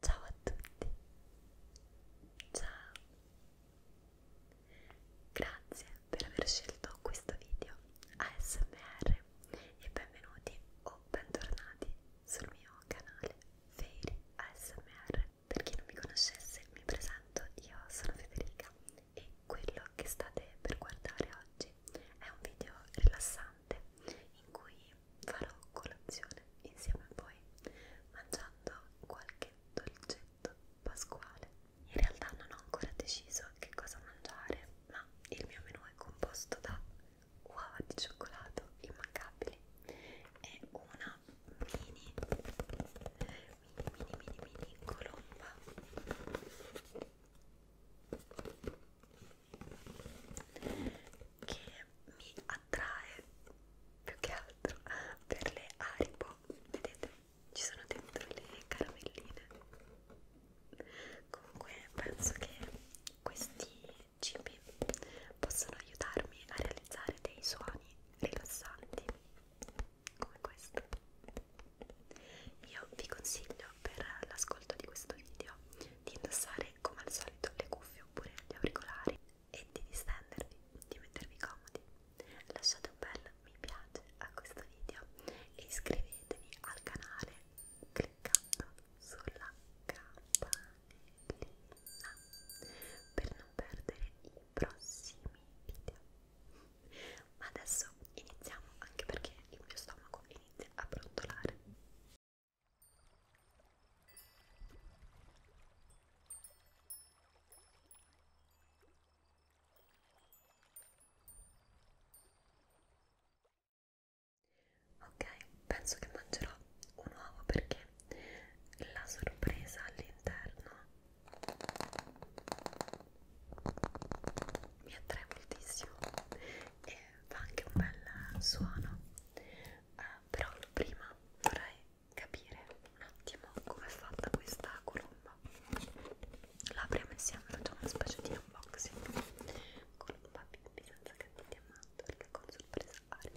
Ciao a tutti, ciao, grazie per aver scelto questo video ASMR e benvenuti o bentornati sul mio canale Fairy ASMR. Per chi non mi conoscesse mi presento, io sono Federica e quello che state per guardare oggi è un video rilassante ristorante in cui farò colazione insieme a voi mangiando qualche dolcetto pasquale. In realtà non ho ancora deciso che cosa mangiare, ma il mio menù è composto da uova di cioccolato immancabili e una mini mini mini mini mini colomba che mi attrae più che altro per le Aribo vedete ci sono dentro le caramelline comunque penso che questi cibi possono aiutarmi a realizzare dei suoni rilassanti come questo io vi consiglio per l'ascolto di questo video di indossare come al solito le cuffie oppure gli auricolari e di distendervi, di mettervi comodi. Lasciate un bel mi piace a questo video e iscrivetevi al canale cliccando sulla campanellina per non perdere i prossimi video. Ma adesso iniziamo anche perché il mio stomaco inizia a brontolare. Ok, penso che mangerò un uovo perché la sorpresa all'interno mi attrae moltissimo e fa anche un bel suono uh, però prima vorrei capire un attimo come è fatta questa colomba la apriamo insieme facciamo una specie di unboxing colomba bimbi senza cattivi amando perché con sorpresa aria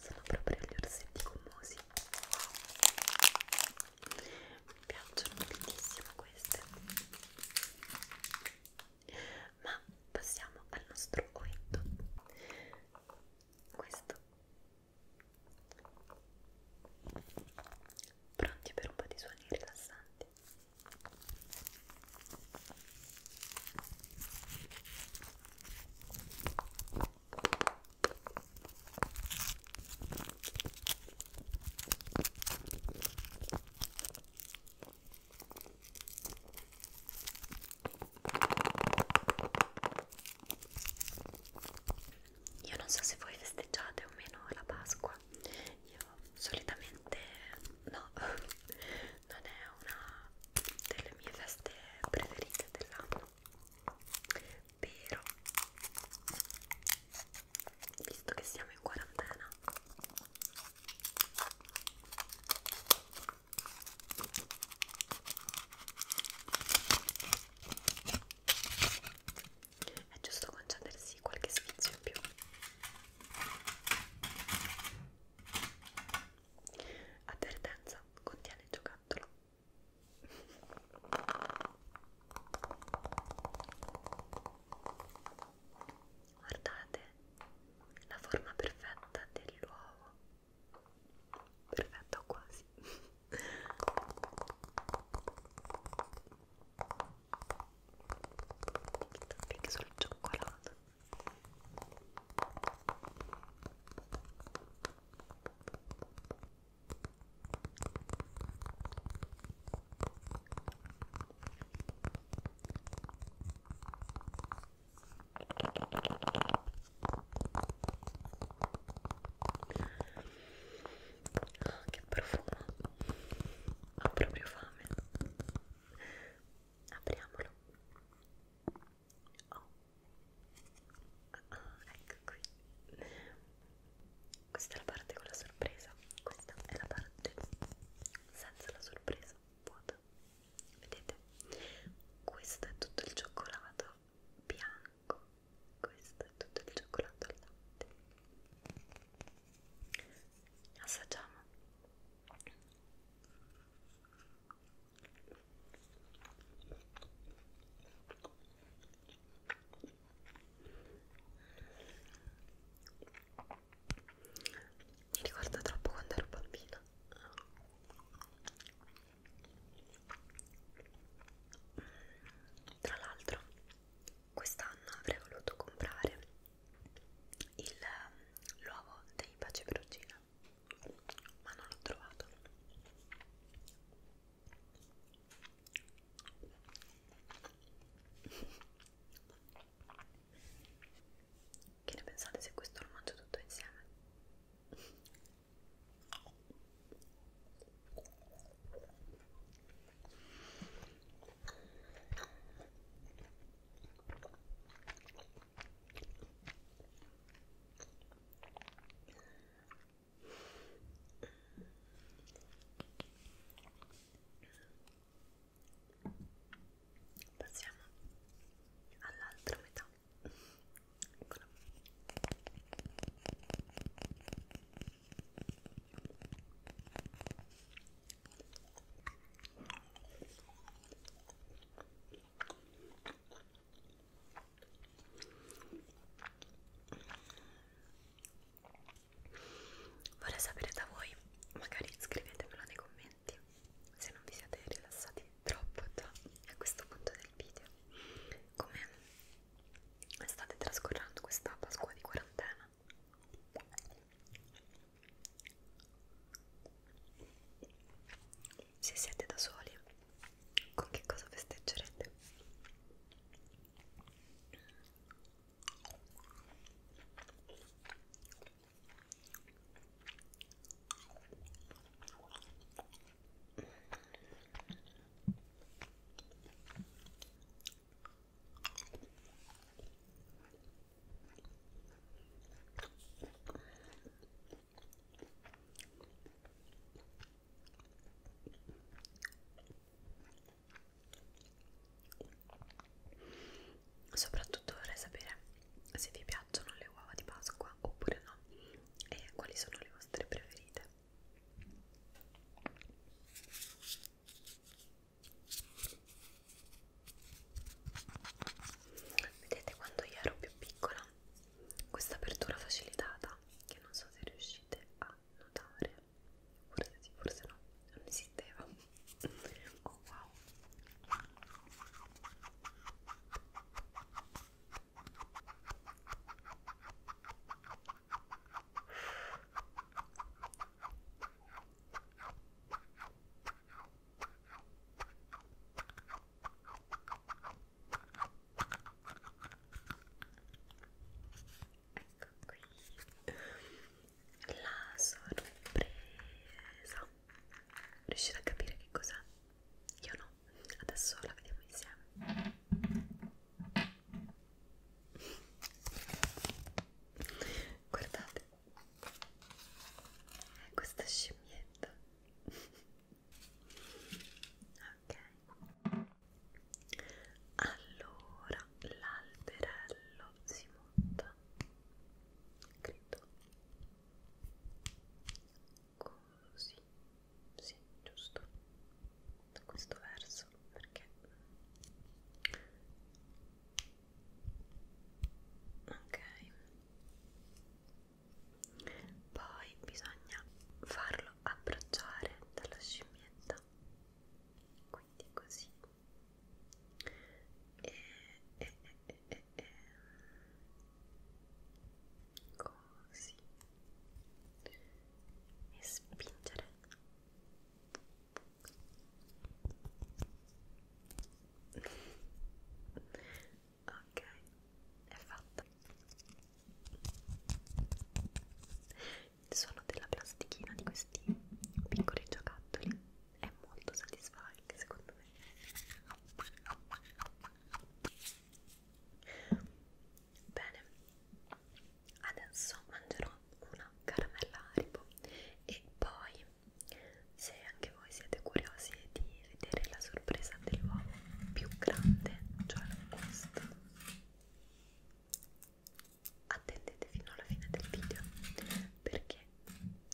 sono proprio gli orsetti gommosi mi piacciono tantissimo queste ma passiamo al nostro oetto questo pronti per un po' di suoni rilassanti io non so se voi festeggiate o meno la Pasqua, io solitamente no non è una delle mie feste preferite dell'anno però visto che siamo in quarantena è giusto concedersi qualche sfizio in più Avvertenza contiene il giocattolo. Guardate la forma perfetta dell'uovo. Perfetto quasi. Tic tac sul cioccolato che profumo ho proprio fame apriamolo Oh. Ah, ecco qui. Questa è la parte con la sorpresa. Questa è la parte senza la sorpresa, vuota. Vedete? Questo è tutto il cioccolato bianco. Questo è tutto il cioccolato al latte. Assaggiamo. Mi ricorda troppo quando ero bambina. Tra l'altro, quest'anno avrei voluto comprare il um, luogo dei Pace Perugina, ma non l'ho trovato. Che ne pensate se questo lo mangio tutto insieme? Passiamo all'altra metà. Eccola. Vorrei sapere da voi, magari scrivetemelo nei commenti se non vi siete rilassati troppo già a questo punto del video come state trascorrendo questa Pasqua di quarantena se siete da soli, con che cosa festeggerete? Soprattutto vorrei sapere se vi piacciono le uova di Pasqua oppure no e quali sono le vostre preferite. Vedete quando io ero più piccola questa apertura facilitata che non so se riuscite a notare forse sì, forse no, non esisteva oh wow Ecco qui la sorpresa riuscite a capire che cos'è? io no adesso la vediamo insieme Guardate questa scimmietta. ok. Allora l'alberello si monta. Credo. Così. Sì, giusto da questo verso perché ok poi bisogna farlo abbracciare dalla scimmietta quindi così e, e, e, e, e. così e spingere ok è fatta il suono della plastichina di questi piccoli giocattoli è molto soddisfacente secondo me Bene, adesso mangerò una caramella Haribo e poi, se anche voi siete curiosi di vedere la sorpresa dell'uovo più grande, cioè questa, attendete fino alla fine del video perché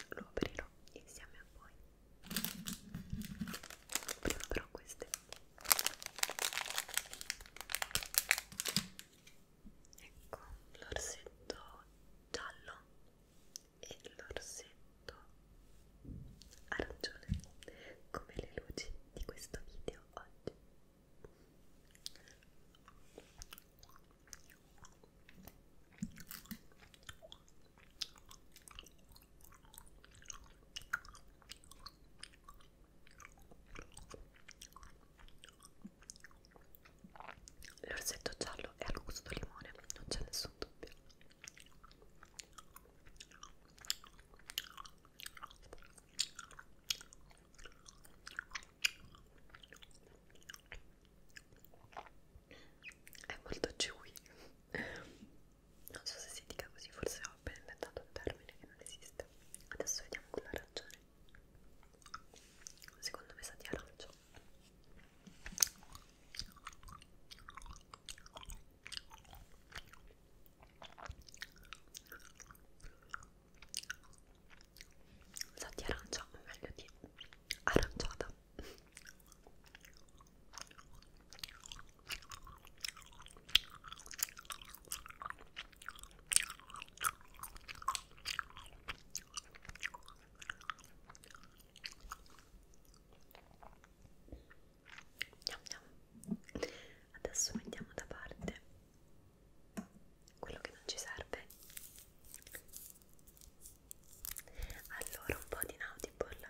lo aprirò insieme a voi. Prima però queste Ecco l'orsetto giallo e l'orsetto arancione come le luci di questo video oggi. L'orsetto giallo è al gusto limone, non c'è nessun dubbio. È molto chewy non so se si dica così, forse ho appena inventato un termine che non esiste. Adesso vediamo con la ragione. Secondo me sa di arancio. Sa di arancia, o meglio di aranciata. Adesso mettiamo da parte quello che non ci serve. Allora, un po' di Nautible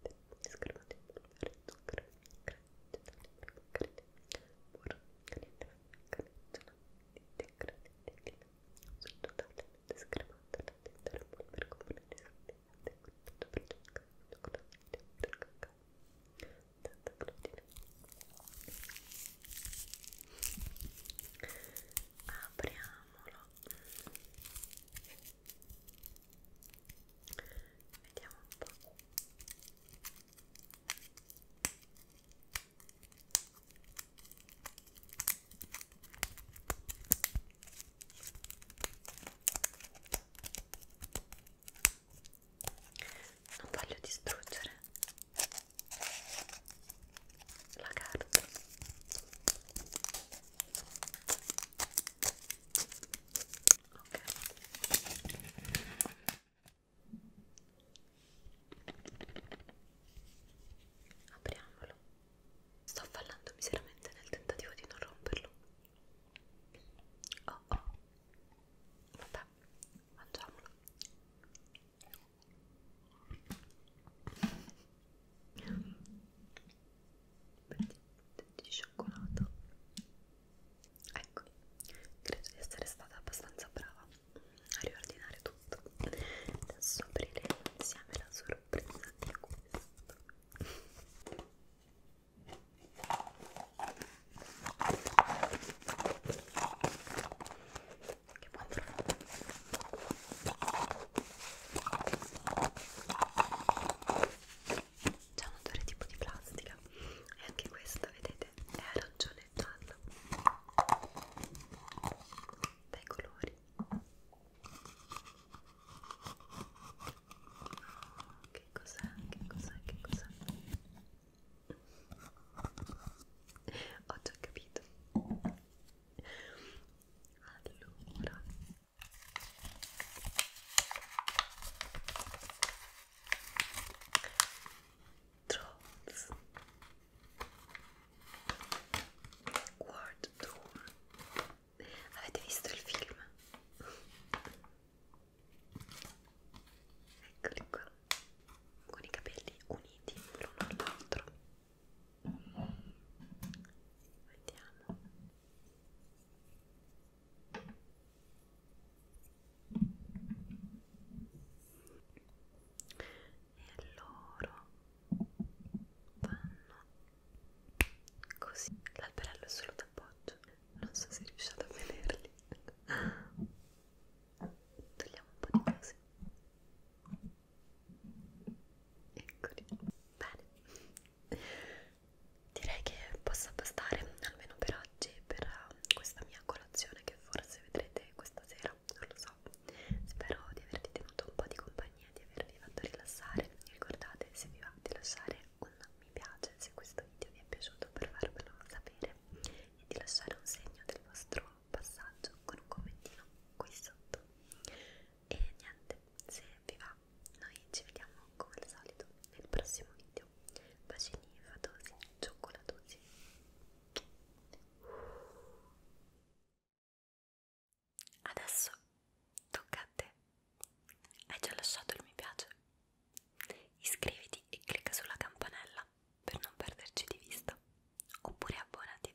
fette, schermate di polvere, zucchero, crete, crete, burro, canetta, canettola, dite, crete, tetina, sono totalmente scremata da tentare un polvere comune di sapete, tutto per giocare, tutto con la mente, per cacao, tanta glutine. Apriamolo vediamo un po' non voglio distruggere la carta ok apriamolo sto fallando miseramente nel tentativo di non romperlo oh oh vabbè mangiamolo di cioccolato ecco credo di essere stata abbastanza brava a riordinare tutto adesso apriremo insieme la sorpresa di questo che buon profumo c'è un odore tipo di plastica e anche questo vedete è arancione e giallo dai colori che cos'è che cos'è che cos'è ho già capito allora Trolls World Tour Avete visto il film? Eccoli qua con i capelli uniti l'uno all'altro vediamo e loro vanno così l'alberello è solo d'appoggio non so se riuscite a vederli togliamo un po' di cose eccoli bene direi che possa bastare almeno per oggi per eh, questa mia colazione che forse vedrete questa sera non lo so spero di avervi tenuto un po' di compagnia di avervi fatto rilassare ricordate se vi va di lasciare un mi piace se questo video vi è piaciuto per farvelo sapere e di lasciare un segno del vostro passaggio con un commentino qui sotto e niente, se vi va noi ci vediamo come al solito nel prossimo video bacini fatosi, cioccolatosi adesso tocca a te hai già lasciato il mi piace? iscriviti e clicca sulla campanella per non perderci di vista oppure abbonati